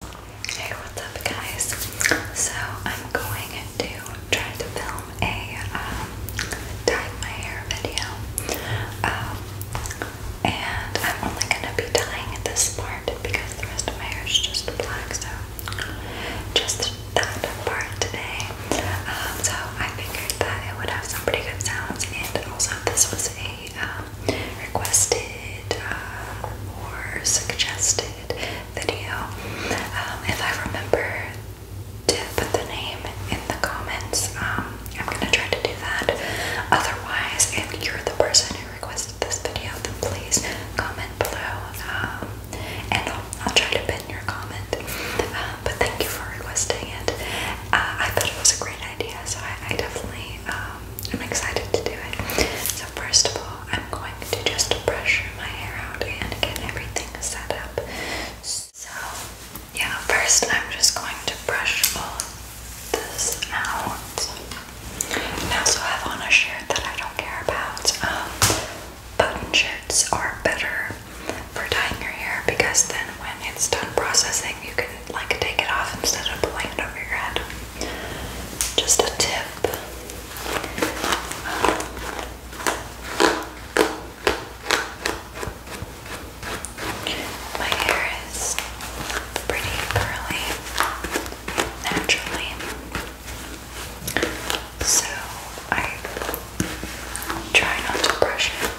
Hey, what's up, guys? So I'm going to try to film a um, my hair video, um, and I'm only gonna be dyeing this part because the rest of my hair is just black. So just that part today. Um, so I figured that it would have some pretty good sounds, and also this was a um, requested uh, or suggested video. Um, if I remember to put the name in the comments, um, I'm gonna try to do that. Otherwise, if you're the person who requested this video, then please comment below, um, and I'll, I'll try to pin your comment. but thank you for requesting it. Uh, I thought it was a great idea, so I, definitely. I'm excited to do it. So first of all, I'm going to just brush my hair out and get everything set up. So yeah, first I'm just going to brush all this out. And I also have on a shirt that I don't care about. Um, button shirts are better for dyeing your hair because then when it's done processing, you can like take it off instead of pulling it over your head. Just a tip. My hair is pretty curly naturally, so I try not to brush it.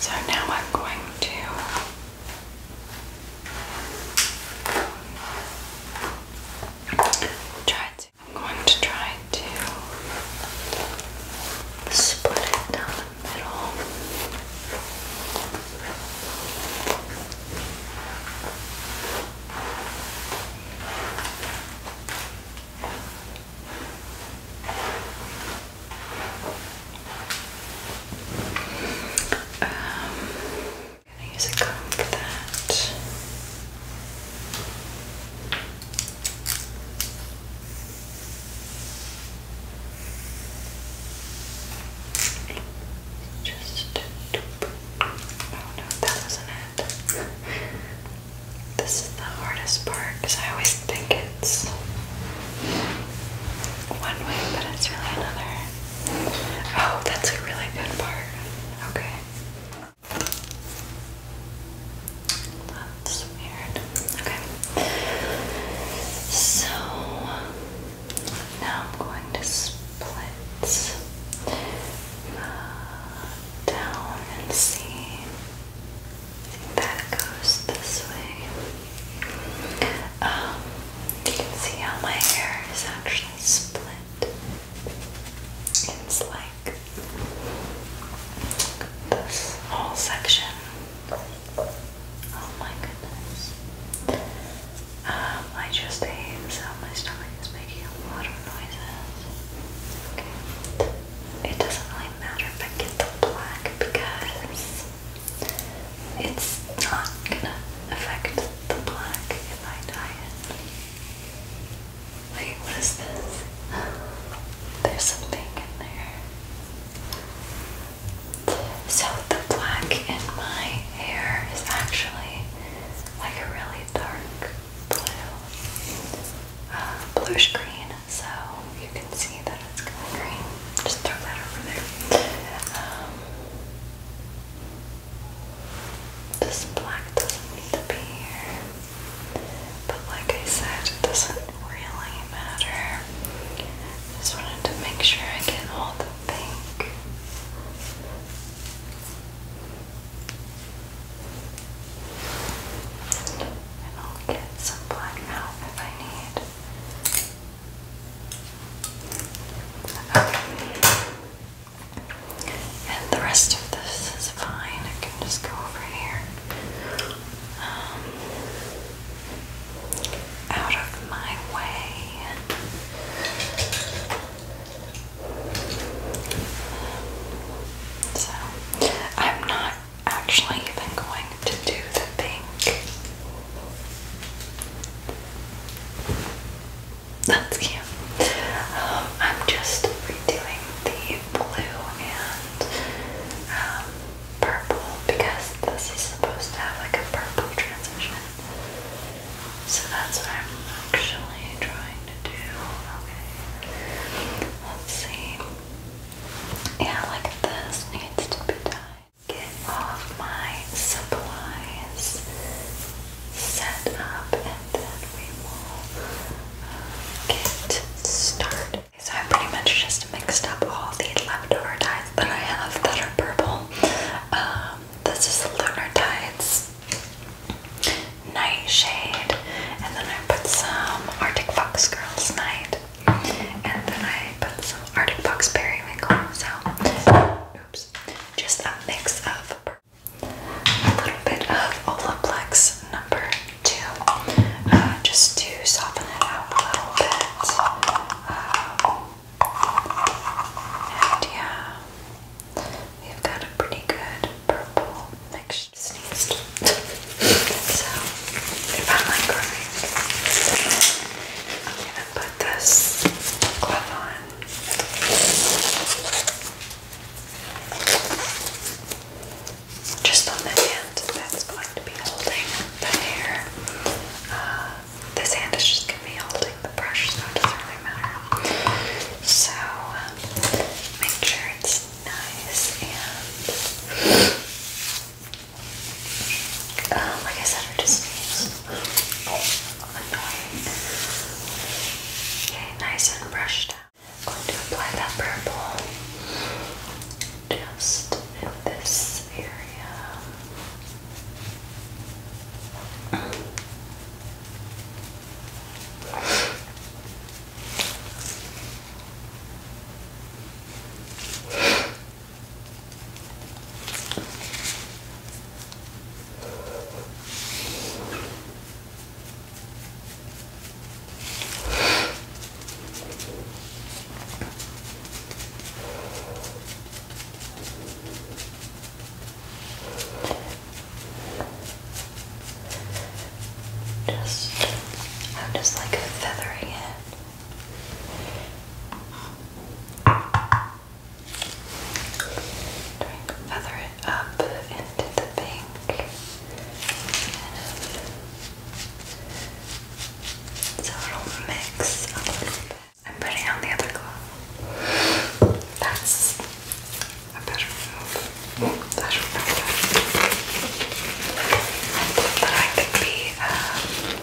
So now I'm going to try and I'm going to try to split it down the middle. Um, I'm going to use a comb for that. Just, oh no, that wasn't it. This is the hardest part because I always think it's one way, but it's really another. Oh, that's a really good part. Okay. That's weird. Okay. So now I'm going to split uh, down and see. That goes this way. you can see how my hair is actually split. It's like this whole section. Oh my goodness. Um, I just ate, so my stomach is making a lot of noises. It doesn't really matter if I get the black because it's not gonna affect the black in my diet. Wait, what is this? There's something in there. So the black in my hair is actually like a really dark blue, uh, bluish green. So you can see that it's kind of green. Just throw that over there. Um, this black doesn't need to be here. But like I said, it doesn't really matter. Just wanted to make sure I get all the pink. And I'll get some black out if I need. And the rest of this is fine. I can just go over here. Um, out of my way. So, I'm not actually even going to do the pink. That's cute. Um, I'm just redoing the blue and um, purple because this is supposed to have like a purple transition. So that's what I'm actually trying to do. Okay. Let's see. Yeah, like this needs to be done. Get off my supplies set up and then we will uh, get started. So I pretty much just mixed up all the leftover tides that I have that are purple. Um, this is Lunar Tides Nightshade and then I put some Arctic Fox Girls Night and then I put some Arctic Fox Periwinkle. So just a mix of a little bit of Olaplex number two, uh, just to soften it out a little bit. Uh, and yeah, we've got a pretty good purple mixture. Sneezed. so, if I'm like crying, I'm gonna put this glove on just on the hand that's going to be holding the hair. Uh, this hand is just going to be holding the brush, so it doesn't really matter. Um, make sure it's nice and. Um, like I said, just Okay, nice and brushed out. going to apply that purple just in this area. Just, I'm just like feathering it feather it up into the pink. So it mix I'm putting on the other glove. That's a better move. That's better. But I Okay,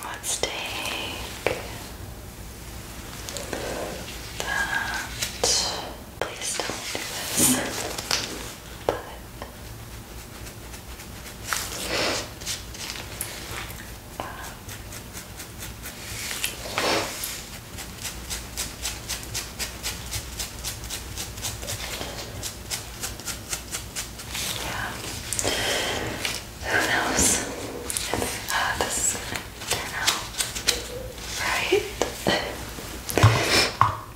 let's take that. Please don't but um, yeah, who knows uh, this is right.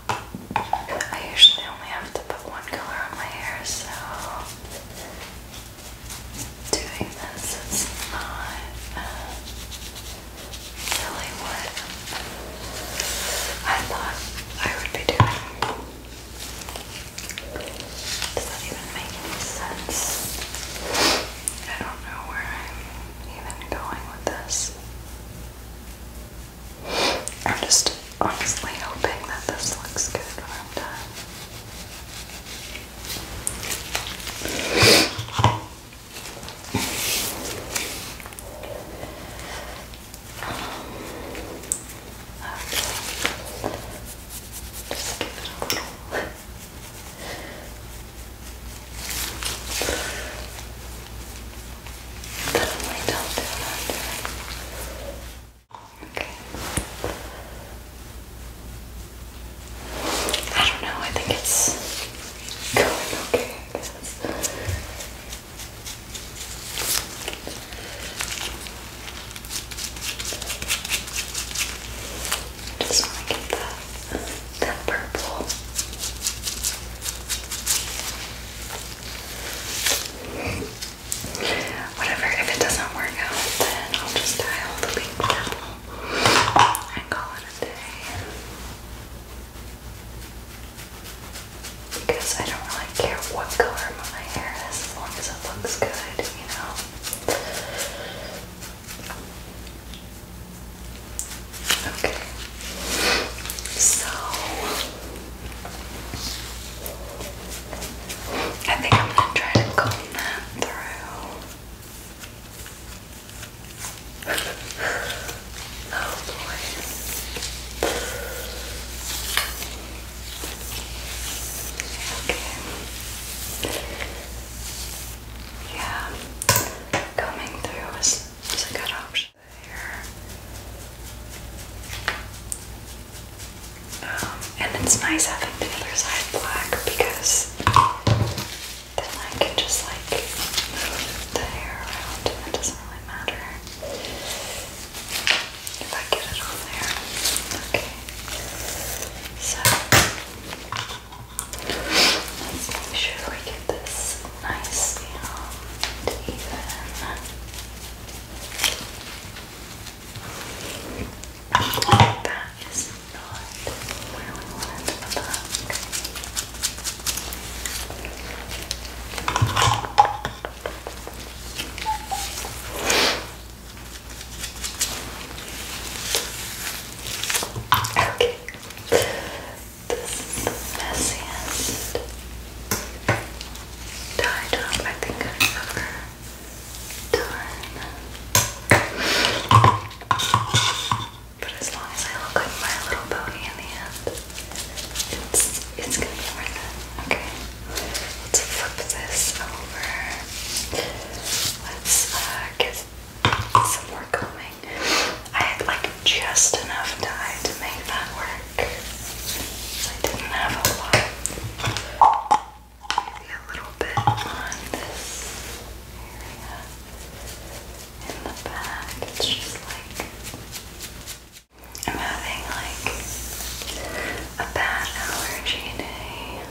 I usually only have to put one color on my hair, so doing this is not uh, really what I thought I would be doing. Does that even make any sense? I don't know where I'm even going with this. I'm just honestly hoping that this looks good when I'm done. Just give it a little. I don't know, I think it's going okay, I guess. just want to get that, that purple. Whatever, if it doesn't work out, then I'll just dye all the pink towel I call it a day. Because I don't really care what color my hair is as long as it looks good, you know? Okay. So I think I'm gonna try to comb that through. oh boy. Okay. Yeah. Coming through is, is a good option. Um, and it's nice having the other side black because then I can just like move the hair around it doesn't really matter if I get it on there. Okay. So let's make sure we get this nice and even. That is not where we want it to Okay. This is the messiest tie top I think I've ever done. But as long as I look like my little pony in the end, it's it's gonna be worth it. Okay. Let's flip this over. Let's get some more combing. I had like just enough dye to make that work. I didn't have a lot. Maybe a little bit on this area in the back. It's just like I'm having like a bad allergy day.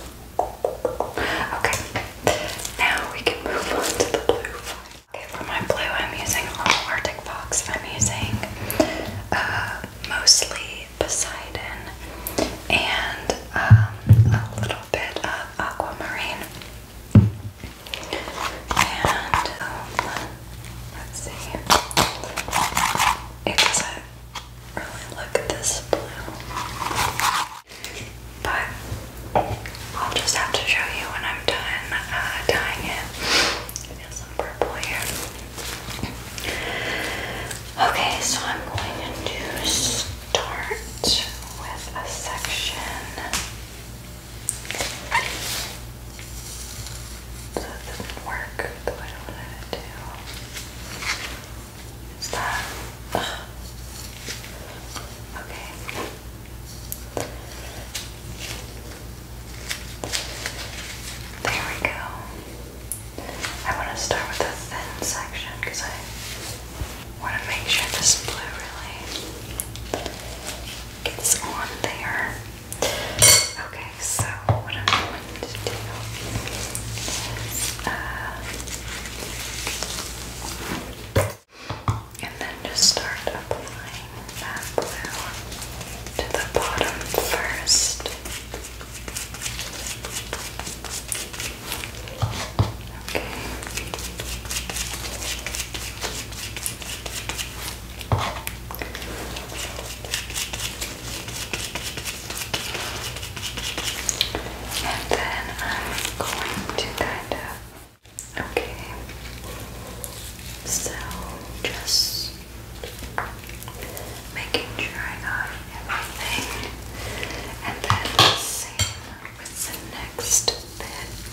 Okay, now we can move on to the blue. Okay, for my blue, I'm using all Arctic Fox. I'm using uh, mostly Poseidon and um, a little bit of Aquamarine. And um, let's see, this blue, but I'll just have to show you when I'm done uh, dyeing it. There's some purple here. Okay, so I'm going to start with a section so it doesn't work the way I wanted to. Is that? Okay. There we go. I want to start with a thin section because I want to make sure this blue really gets on there. Okay, so what I'm going to do is uh, and then just start applying that blue to the bottom first. And then I'm going to kind of Okay, so just making sure I got everything, and then the same with the next bit.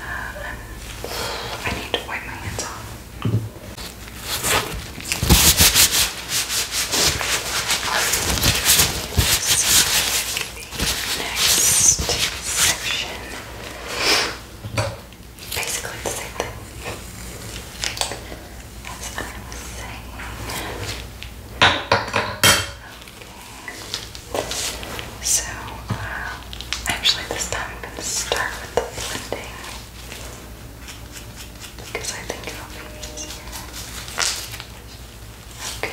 Uh, I need to wipe my hands off next section. Basically the same thing. As I was saying. Okay. So, uh, actually this time I'm going to start with the blending. Because I think it'll be easier. Okay.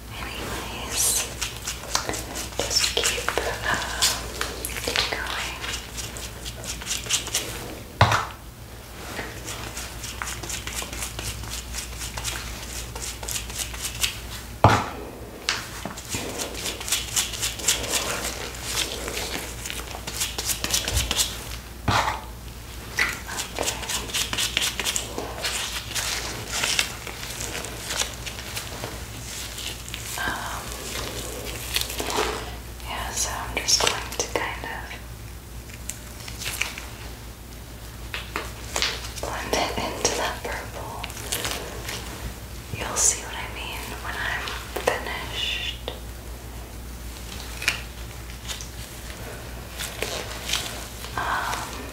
Anyways, just keep, keep um, going. Um, yeah, so I'm just going to kind of blend it into that purple. You'll see what I mean when I'm finished. Um,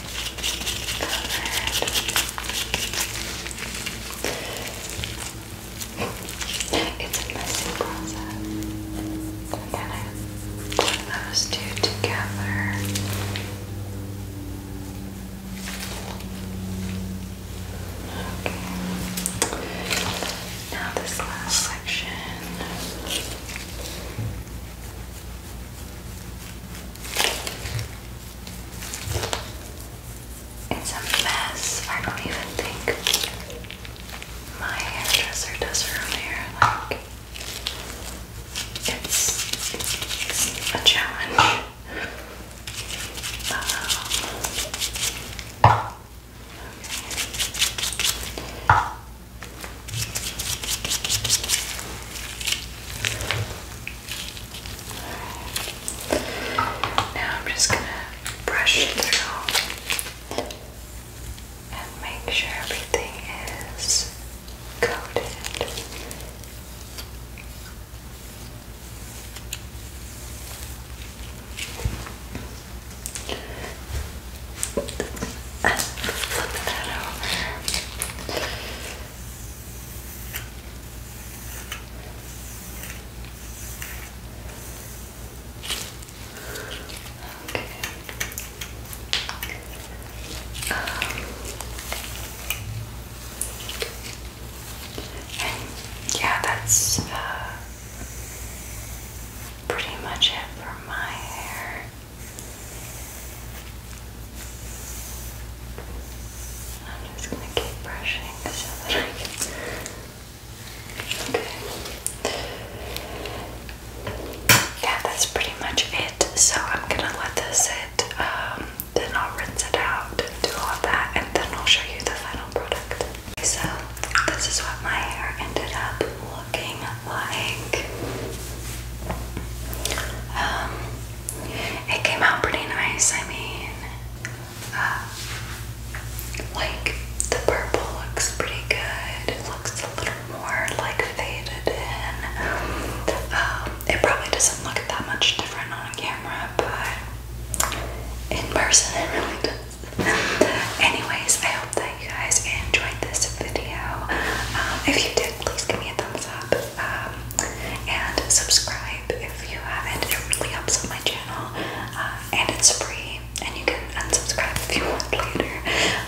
It's a messy process. i put those two together. Now this last section. It's a mess. I don't even think my hairdresser does her own hair. Like, it's a challenge. Um, now I'm just gonna brush through and make sure everything is coated. Um, yeah, that's uh, pretty much it for my hair. I'm just gonna keep brushing so that I can. Okay. Yeah, that's pretty much it. So I'm gonna let this sit, um, then I'll rinse it out do all that, and then I'll show you the final product. So this is what my hair ended up looking like. Um, it came out pretty nice. I mean, uh, like the purple looks pretty good. It looks a little more like faded in. Um, it probably doesn't look that much different on camera, but in person it really does. Anyways, I hope that you guys enjoyed this video. Um, if you did, please give me a thumbs up um, and subscribe if you haven't. It really helps my channel, uh, and it's free. And you can unsubscribe if you want later.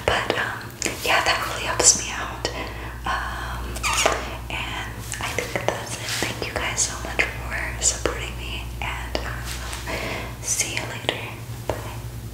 But um, yeah, that really helps me out. and Thank you guys so much for supporting me, and see you later. Bye.